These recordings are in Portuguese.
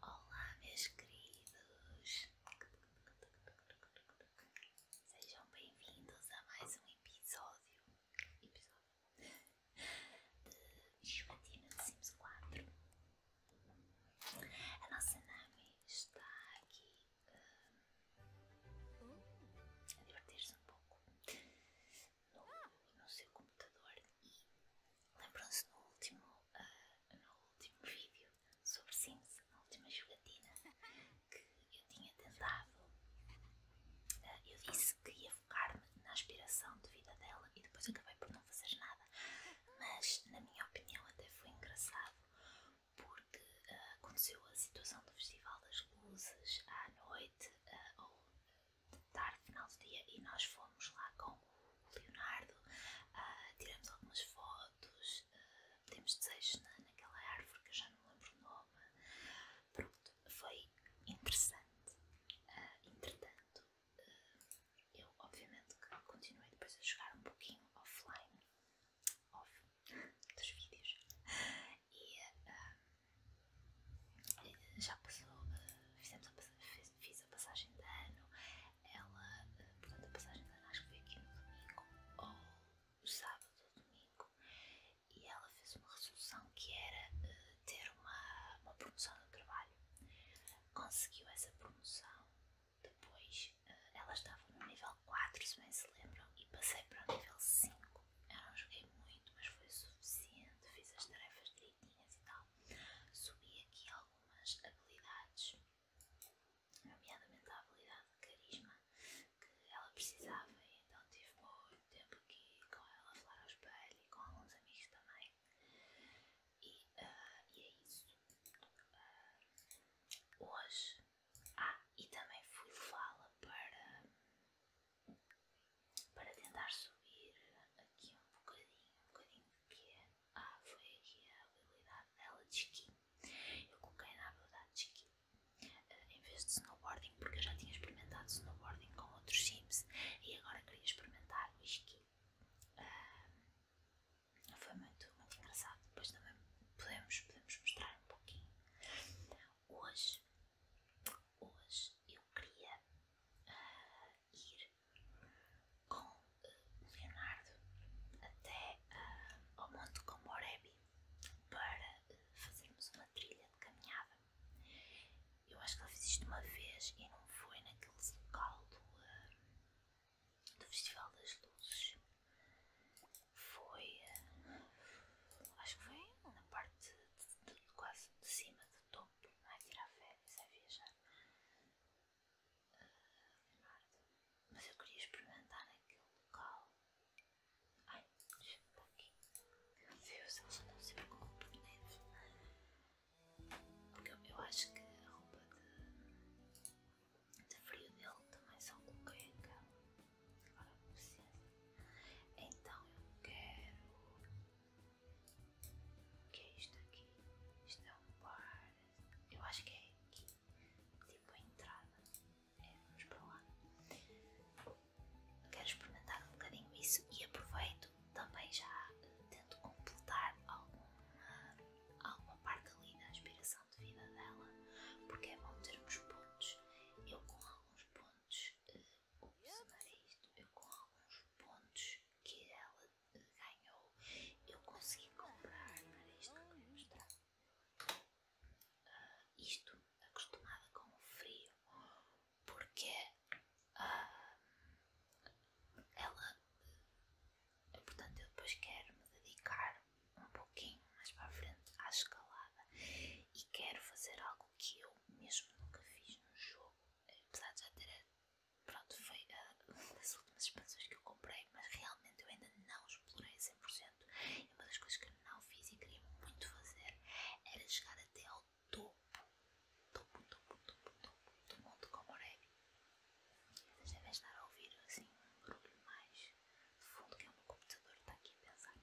Olá, meus queridos! Sejam bem-vindos a mais um episódio, episódio de Joatina de Sims 4. A nossa Nami está aqui hum, a divertir-se um pouco no, no seu computador e Lembram-se no, último, ah, no último vídeo sobre Sims, na última jogatina, que eu tinha tentado. Ah, eu disse que ia focar-me na aspiração de vida dela e depois acabei por não fazer nada. Mas, na minha opinião, até foi engraçado porque ah, aconteceu a situação do Festival das Luzes à noite, ou tarde, final do dia, e nós fomos lá com o Leonardo, ah, tiramos algumas fotos, uh, desejos na, naquela árvore que eu já não lembro o nome. Pronto, foi interessante. Ah, entretanto, eu obviamente que continuei depois a jogar um pouquinho offline, off dos vídeos, e já passou fiz, a passagem de ano. Ela, eh, portanto, a passagem de ano acho que foi aqui no domingo ou no sábado ou domingo. E ela fez uma resolução que era eh, ter uma, promoção no trabalho. Conseguiu essa promoção. Depois eh, ela estava no nível 4, se bem se lembram, e passei para o nível 5. Eu não joguei muito, mas foi suficiente. Fiz as tarefas direitinhas e tal. Subi aqui algumas habilidades, nomeadamente a habilidade de carisma que ela precisava, e então tive muito tempo aqui com ela a falar ao espelho e com alguns amigos também. E, ah, é isso. Ah, hoje. Ah, e também fui fala para para tentar subir aqui um bocadinho, um bocadinho de quê? Ah, foi aqui a habilidade dela de ski. Eu coloquei na habilidade de ski, ah, em vez de snowboarding, porque eu já tinha experimentado snowboarding com outros sims e agora queria experimentar o esqui. Ah, foi muito, muito engraçado. Depois também podemos, podemos mostrar um pouquinho. Hoje, hoje eu queria ah, ir com o Leonardo até ah, ao Monte Comborebi para ah, fazermos uma trilha de caminhada. Eu acho que ele fiz isto uma vez e não foi naquele local do, ah, do Festival das Luzes. Foi. acho que foi na parte quase de cima do topo, não é? bebes a viajar. Leonardo, ah, mas eu queria experimentar aquele local. Ai, deixa-me para aqui. Meu Deus, eles andam sempre com roupa de neve. Porque eu, acho que a roupa de, de frio dele também são coloquei aquela. Agora precisa. Então eu quero que é isto aqui? Isto é um bar. Eu acho que é aqui. Tipo a entrada. É, vamos para lá. Quero experimentar um bocadinho isso e aproveito também já tento completar alguma, parte ali da aspiração de vida dela. Porque é bom termos pontos. Eu com alguns pontos eh, o isto eu com alguns pontos que ela ganhou. Eu consegui comprar ah, isto acostumada com o frio, porque ah, ela, portanto, eu depois quero me dedicar um pouquinho mais para a frente à escalada e quero fazer algo que eu mesmo nunca fiz no jogo, apesar de já ter. Pronto, foi eh, as últimas expansões que eu comprei, mas realmente eu ainda não explorei 100%. E uma das coisas que eu não fiz e queria muito fazer era chegar até ao topo, topo, topo, topo, topo do Monte Comoré. Vocês devem estar a ouvir assim um barulho mais fundo, que é o meu computador que está aqui a pensar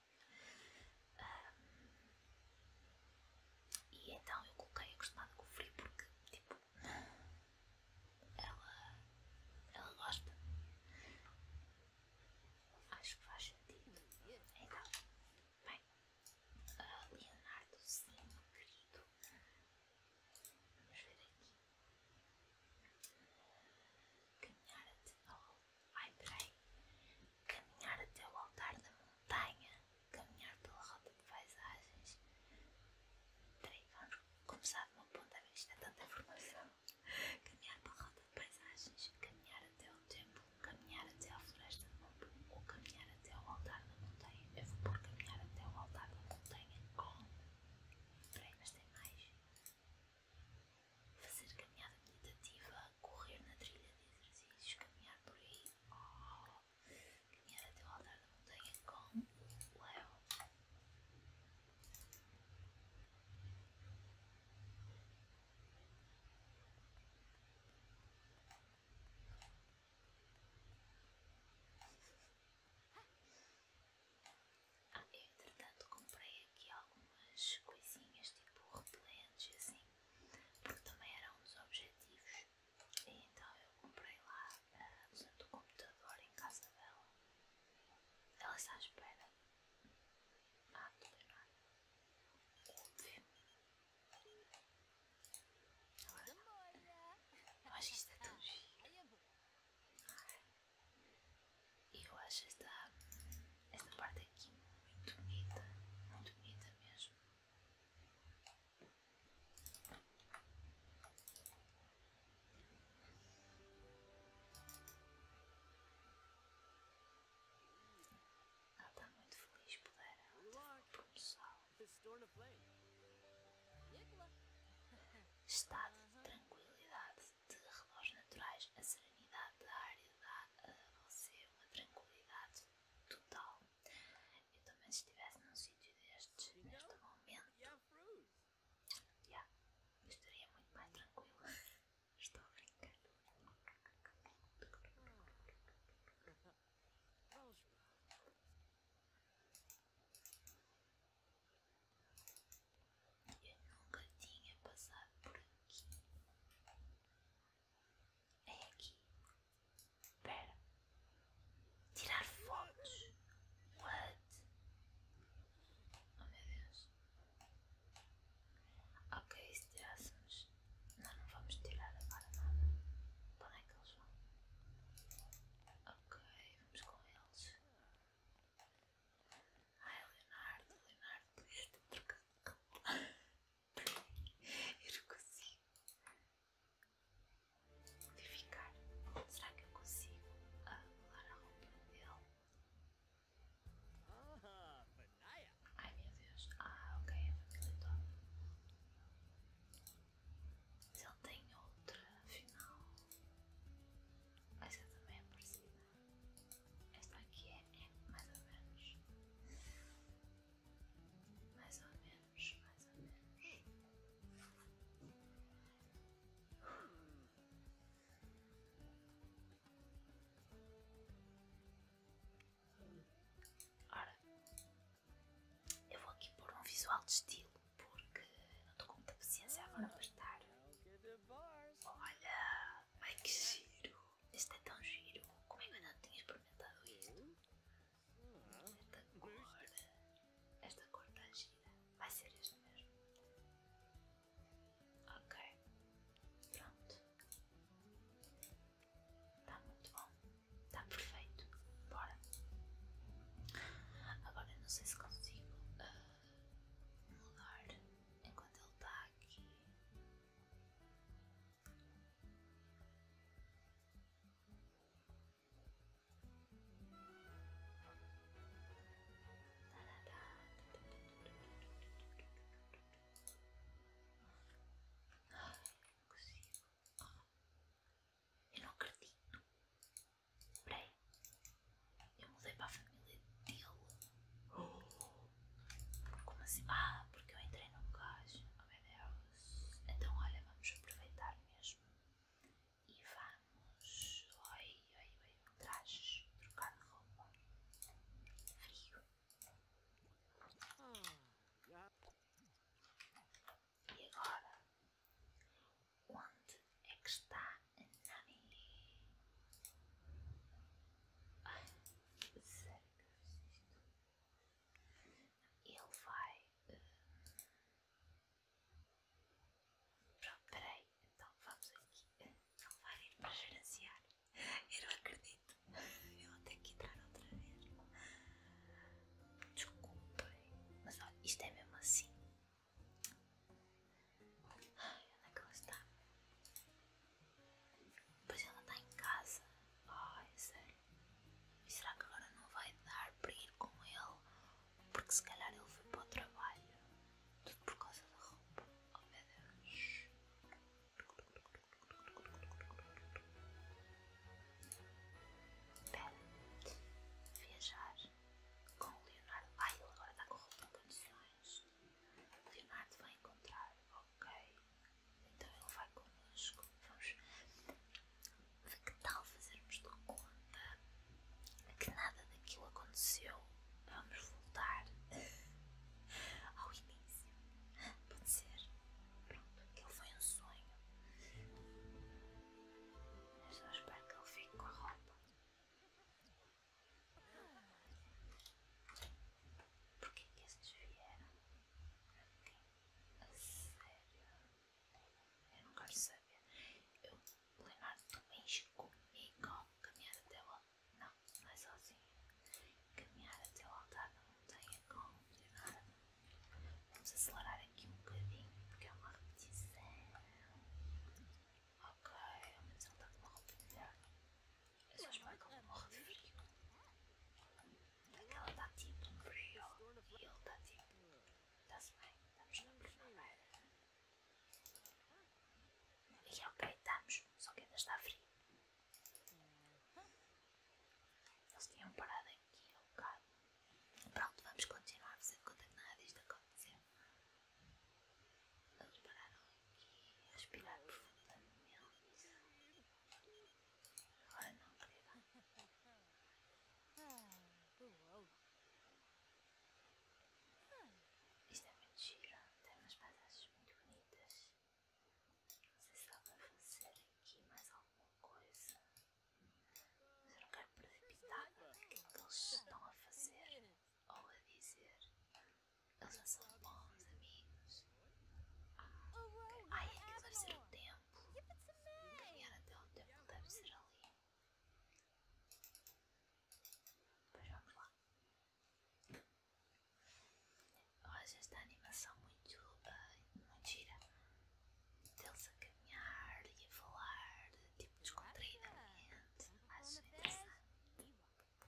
e então eu coloquei acostumada com o frio porque, tipo, ela, ela gosta. Acho que faz sentido. Então, bem, uh, Leonardo, sim, querido. Vamos ver aqui. Caminhar até ao. o altar da montanha montanha, caminhar pela rota de paisagens. Peraí, vamos começar de uma ponta, isto é tanta informação. Caminhar pela rota de paisagens, caminhar até o templo, caminhar até a floresta de Mambu, ou caminhar até o altar da montanha. Eu vou por caminhar até o altar da montanha. Oh. Peraí, mas tem mais. Fazer caminhada meditativa correr na trilha de exercícios, caminhar por aí, oh, caminhar até o altar da montanha com o Léo. Ah, eu entretanto comprei aqui algumas coisinhas tipo repelentes assim porque também eram um objetivos. E então eu comprei lá a eh, usando do computador em casa dela. Ela está à espera. Ah, não tem nada. Óbvio. Eu acho que isto é tão giro. E eu acho esta parte aqui muito bonita, muito bonita mesmo. Ela está muito feliz por ela. Por tá o sol. Estado de tranquilidade, de relógios naturais, a serenidade da área dá a você uma tranquilidade total. Eu também se estivesse num sítio destes neste momento. Yeah, estaria muito mais tranquila. Estou a brincar. Eu nunca tinha passado por aqui. É aqui. Espera. Tirar fotos. What? Oh meu Deus. Ok, se tirássemos. Não, não vamos tirar agora nada. Para onde é que eles vão? Ok, vamos com eles. Ai Leonardo, Leonardo, podias ter trocado de Eu não consigo modificar? Será que eu consigo arrumar ah, a roupa dele? Ai meu Deus. Ah, ok, é a família toda. Mas ele tem outra, afinal. Essa também é parecida. Esta aqui é, é mais ou menos mais ou menos, mais ou menos. Ora, eu vou aqui pôr um visual de estilo porque não estou com muita paciência agora para estar. Olha, ai que giro! Esse é tão giro. Como é que eu ainda tinha experimentado isto? Esta cor. Esta cor tá gira. Vai ser esta mesmo. Ok. Pronto. Tá muito bom. Tá perfeito. Bora. Agora eu não sei se consigo ah, mudar enquanto ele está aqui. Eu não acredito. Peraí. Eu mudei para a família dele. Oh. Como assim? Ah, porque eu entrei num gajo. Oh meu Deus. Então olha, vamos aproveitar mesmo. E vamos. Oi, oi, oi. Trajes. Trocar de roupa. Frio. E agora? Onde é que está a Nami? Ah, ele vai. Hum, pronto, peraí, então vamos aqui. Ele vai ir para gerenciar. Eu não acredito. Eu vou ter que entrar outra vez. Desculpem, mas olha, isto é mesmo assim. Ai, onde é que ela está? pois ela está em casa. Ai, sério. E será que agora não vai dar para ir com ele? Porque se calhar ele foi para o trabalho. Tudo por causa da roupa. Oh meu Deus. Espera. Viajar com o Leonardo. Ai, ele agora está com roupa em condições. Leonardo vai encontrar, ok. Então ele vai connosco. Vamos. Que tal fazermos de conta que nada daquilo aconteceu? Vamos voltar ao início. Pode ser. Pronto, aquilo foi um sonho. Eu só espero que ele fique com a roupa. Por que que estes vieram? A sério? Eu não quero saber. Eu, Leonardo, tu vens comigo caminhar até lá. Não, não é sozinho. Caminhar até o altar da montanha com Leonardo. Vamos acelerar aqui um bocadinho porque é uma repetição. Ok, ao menos ele está com uma roupa melhor eu é só Esse Michael morre frio. Ela tá tipo frio e ele tá tipo. Tá-se bem, estamos na primavera. E é ok, estamos, só que ainda está frio. Eles tinham parado aqui há um bocado. Pronto, vamos continuar fazendo conta que nada disto aconteceu. Eles pararam Respirar profundamente. Agora não, querida. Isto é muito giro. Tem umas paisagens muito bonitas. Não sei se dá para fazer aqui mais alguma coisa. Mas eu não quero precipitar pitada daquilo que eles estão a fazer ou a dizer. Elas são bons amigos. Ai, é que deve ser o tempo. Caminhar até o tempo deve ser ali. Pois vamos lá. Eu acho esta animação muito, uh, muito gira. Deles a caminhar e a falar, tipo descontraídamente. Acho interessante.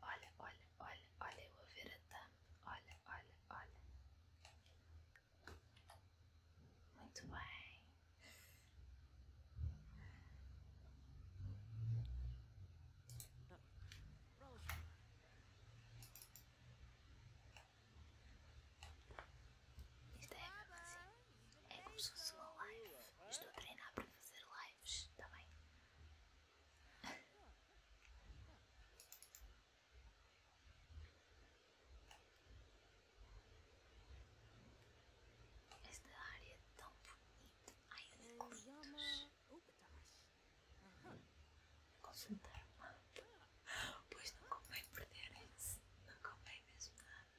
Olha, olha, olha, olha eu overatando. Olha, olha, olha. Muito bem. Isto é assim. É como se fosse uma live. Estou a treinar para fazer lives, está bem? Esta área é tão bonita. Ai, lindos. Consultar o mapa. Pois não convém perderem-se. Não convém mesmo nada.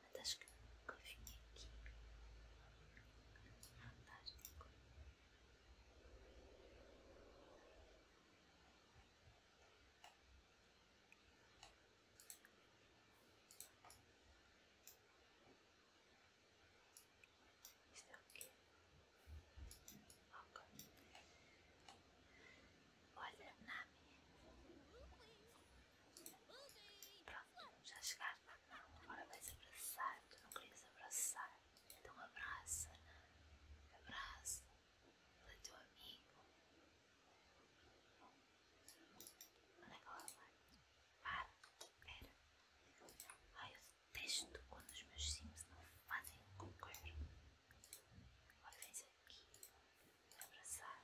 realmente tá acho que nunca vim aqui. Fantástico. Isto é o Ok. Olha, Nami. Pronto, já chegaste. Agora vais abraçar. Tu não querias abraçar. Então abraça. Abraça. Ele é teu amigo. Onde é que ela vai? Para. Espera. Ai, eu detesto quando os meus sims não fazem o que eu quero. Agora vens aqui. Abraçar.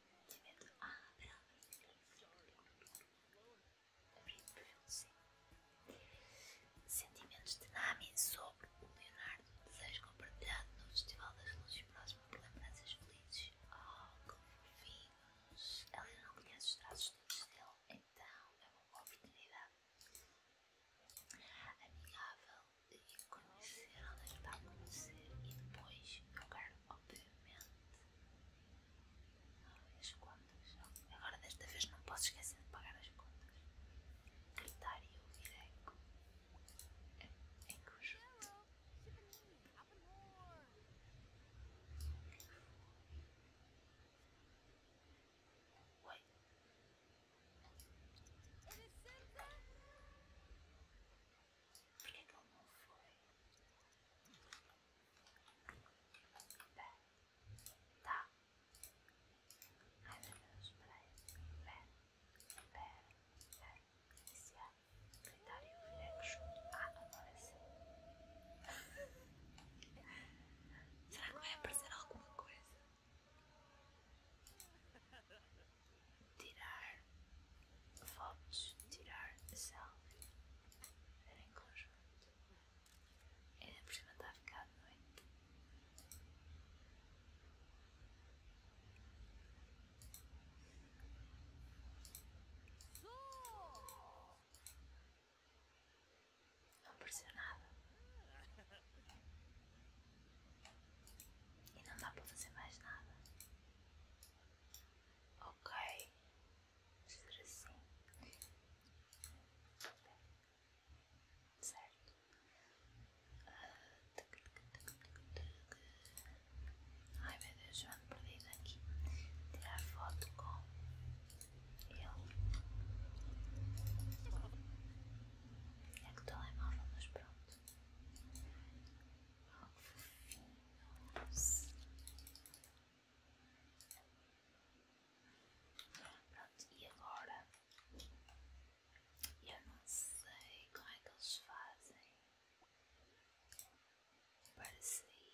Sentimentos de Nami sobre o Leonardo. Desejo compartilhado no Festival das Luzes próximo por lembranças felizes. Oh, que Ela ainda não conhece os traços todos dele, então é uma boa oportunidade. Amigável e conhecer, a conhecer e depois jogar, obviamente. Ah, as contas. Agora, desta vez, não posso esquecer de pagar as contas. Gritar e ouvir é eco. É, é conjunto. Oi. Por que que ela não foi? Pé. Tá. Ai meu Deus, peraí. Pé. Pé. Pé. Iniciar. Critério Reaction. Ah, agora sim. Será que vai aparecer alguma coisa? tirar fotos, tirar selfie, era em conjunto. Ainda por cima está a ficar à noite. Não apareceu nada. E não dá para fazer mais nada. Ok, ser assim, certo? Ai meu Deus, eu ando perdida aqui. Tirar foto com ele. É que o telemóvel, mas pronto. Pronto, e agora? Eu não sei como é que eles fazem para sair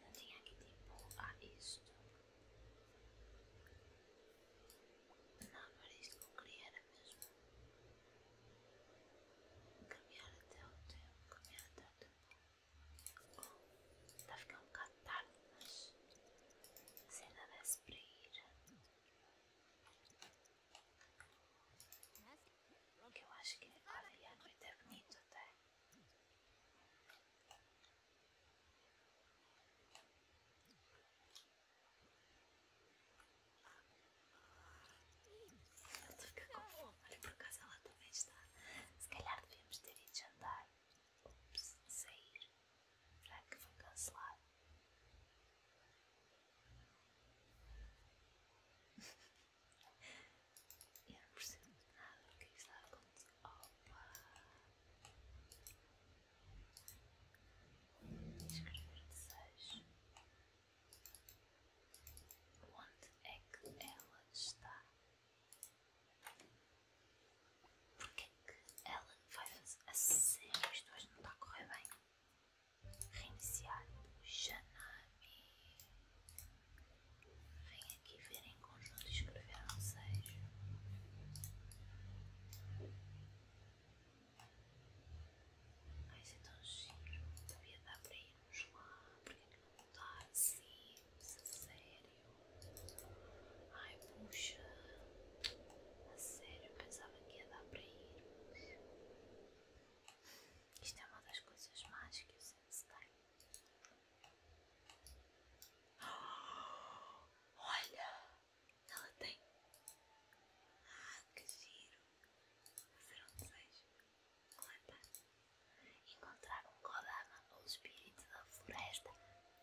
não tinha que tempo a isto. Não, não isso não criara mesmo caminhar até o tempo, caminhar até o tempo. Oh, está a ficar mas se ainda desse para ir. Que eu acho que olha, a noite é bonito até. Eu tô ficando com fome, por causa ela também está. Se calhar devíamos ter ido jantar. Ups, sair. Será que foi cancelado? Eu não percebo nada do que é está acontecendo. Opa! Escrever desejo. Onde é que ela está? Porque é que ela vai fazer assim? sério? Isto hoje não está a correr bem. Reiniciar o Janami. Vem aqui ver em conjunto escrever um seis. Ai, isso é tão giro. Devia dar para irmos lá. Por é que não mudar assim? É sério? Ai, puxa. A sério, pensava que ia dar para irmos. Isto é uma das coisas mais que o Sense tem. olha, ela tem. Ah, que giro! Fazer um desejo. Coleta. Encontrar um Kodama ou espírito da floresta.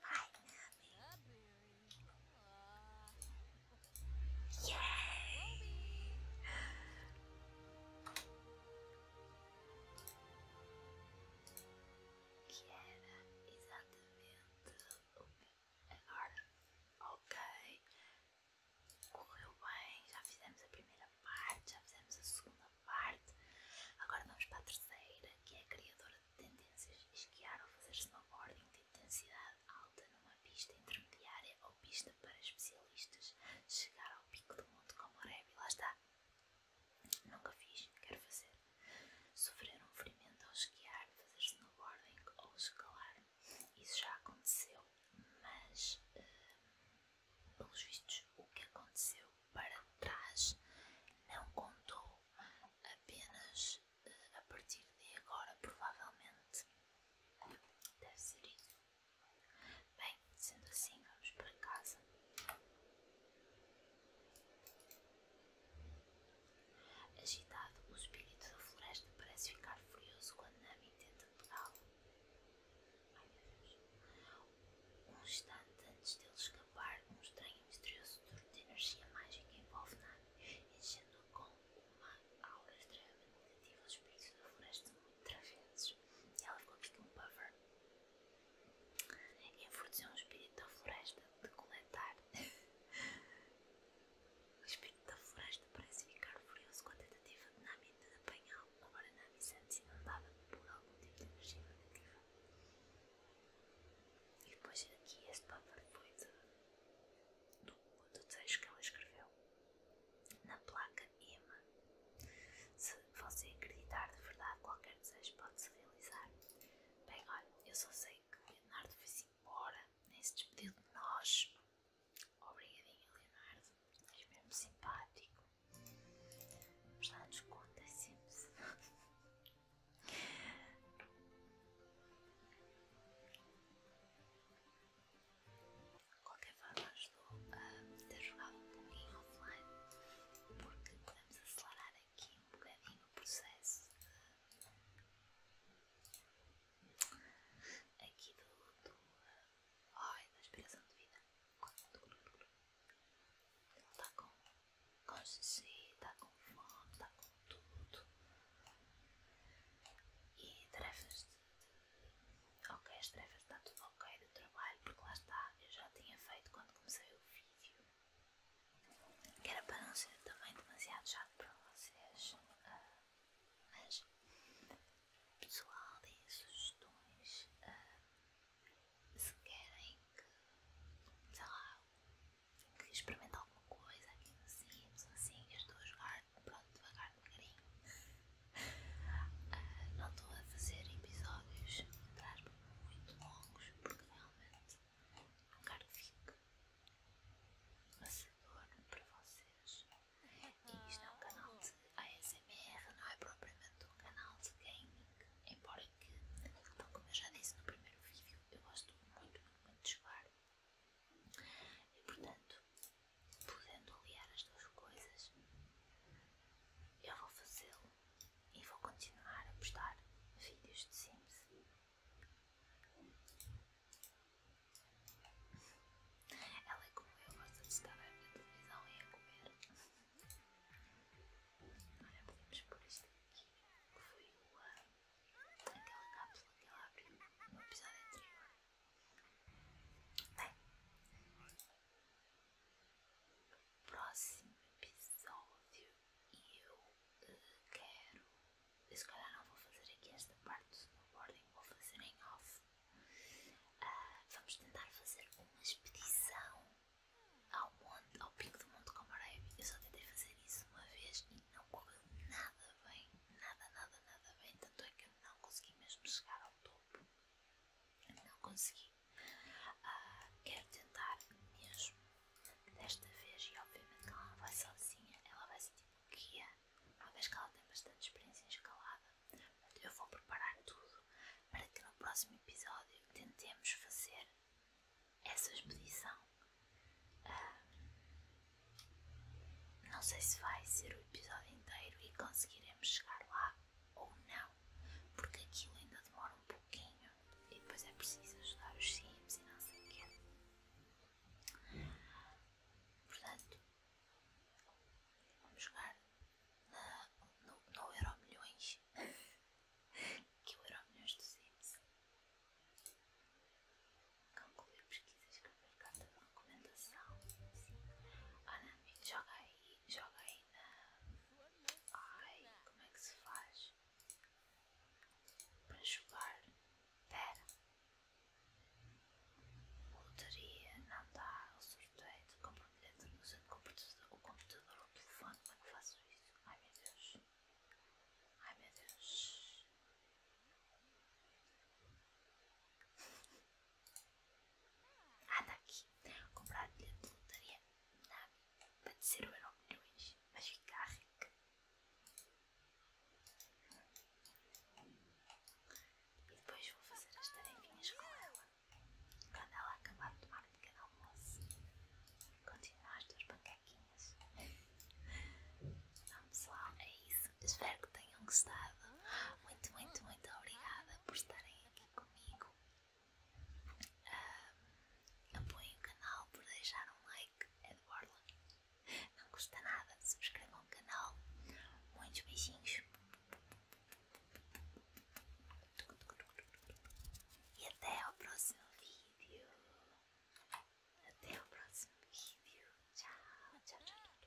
Ai, Nami que era exatamente agora. Ok, correu bem, já fizemos a primeira parte, já fizemos a segunda parte. Agora vamos para a terceira, que é a criadora de tendências, esquiar ou fazer snowboarding de intensidade alta numa pista intermediária ou pista para especialistas, chegar ao pico do mundo como o Reb, lá está. Nunca fiz, quero fazer. Sofrer um ferimento ao esquiar, fazer snowboarding ou escalar. Isso já aconteceu, mas uh, pelos vistos o que aconteceu para trás não contou apenas eh, a partir de agora provavelmente deve ser isso. Bem, sendo assim, vamos para casa. Agitado, o espírito da floresta parece ficar furioso quando Nami tenta pegá-lo. Um instante antes dele escapar, um estranho e misterioso turno de energia mágica envolve Nami, enchendo a com uma aura extremamente negativa os espíritos da floresta muito travessos. ela ficou aqui tipo com um buffer. Em Enfordecer um espírito da floresta de coletar. o espírito da floresta parece ficar furioso com a tentativa de Nami de apanhá-lo. Agora Nami sente-se inundada por algum tipo de energia negativa. E depois aqui este paper foi de, do, do desejo que ela escreveu. Na placa Emma você acreditar de verdade, qualquer desejo pode se realizar. Bem, olha, eu só sei que Leonardo foi-se embora, nem se despediu de nós. Obrigadinho, Leonardo, és mesmo simpático. Mas lá nos conta é sempre. -se. Qualquer forma, jogo, uh, eu jogava um pouquinho offline porque podemos acelerar aqui um bocadinho o processo aqui do, do da inspiração de vida. Ele está com, com xixi, está com fome, está com tudo. E tarefas de Ok, as tarefas está tudo ok do trabalho, porque lá está, eu já tinha feito quando comecei o vídeo. Que era para não ser também demasiado chato para vocês. Ah, mas, pessoal, deem sugestões. Uh, se querem que, sei lá, que experimentem alguma coisa, aqui aquilo assim, assim, eu estou a jogar, pronto, devagar, devagarinho não estou a fazer episódios muito longos porque realmente não quero que fique maçador para vocês. E isto é um canal de ASMR, não é propriamente um canal de gaming, embora que, como eu já disse no primeiro vídeo, eu gosto muito, muito, muito de jogar. E portanto, podendo aliar as duas coisas, eu vou fazê-lo e vou continuar a postar vídeos de Simpsons. Ela é como eu, gosta de estar a ver televisão e a comer. Olha, podemos pôr isto aqui, que foi ah, aquela cápsula que ela abriu no episódio anterior. Bem, próximo episódio eu eh, quero. Se calhar não vou fazer aqui esta parte do snowboarding, vou fazer em off. Ah, vamos tentar fazer uma expedição ao monte, ao pico do Monte Comareve. Eu só tentei fazer isso uma vez e não correu nada bem, nada, nada, nada bem. Tanto é que eu não consegui mesmo chegar ao topo. Não consegui. Ah, quero tentar mesmo desta vez, e obviamente que ela não vai sozinha, ela vai sentir tipo guia, uma vez que ela tem bastante experiência escalada. eu vou preparar tudo para que no próximo episódio tentemos fazer essa expedição. Ah, não sei se vai ser o episódio inteiro e conseguiremos chegar lá ou não, porque aquilo ainda demora um pouquinho e depois é preciso ajudar os sims e não sei o quê. Portanto, vamos jogar na, no, no Euro Milhões, que é o Euro Milhões dos Sims. Concluir pesquisas, escrever carta de recomendação. Sim. Ah, amigo, joga aí, joga aí. Ai, como é que se faz? Para jogar. Pera. Lotaria não dá o sorteio de comprometimento usando o computador ou computador, o telefone. Como é que faço isso? Ai meu Deus. Ai meu Deus. Ah, tá aqui. Comprar bilhete de lotaria para descer o euro milhões. Mas ficar rica. E depois vou fazer as tarefinhas com ela. Quando ela acabar de tomar um pequeno almoço, continuar as tuas pancaquinhas. Então, pessoal, é isso. Espero que tenham gostado. Muito, muito, muito obrigada por estarem aqui comigo. Um, ah, apoiem o canal por deixar um like, é de borla. Não custa nada, subscrevam o canal. Muitos beijinhos. E até ao próximo vídeo. Até ao próximo vídeo. Tchau, tchau, tchau.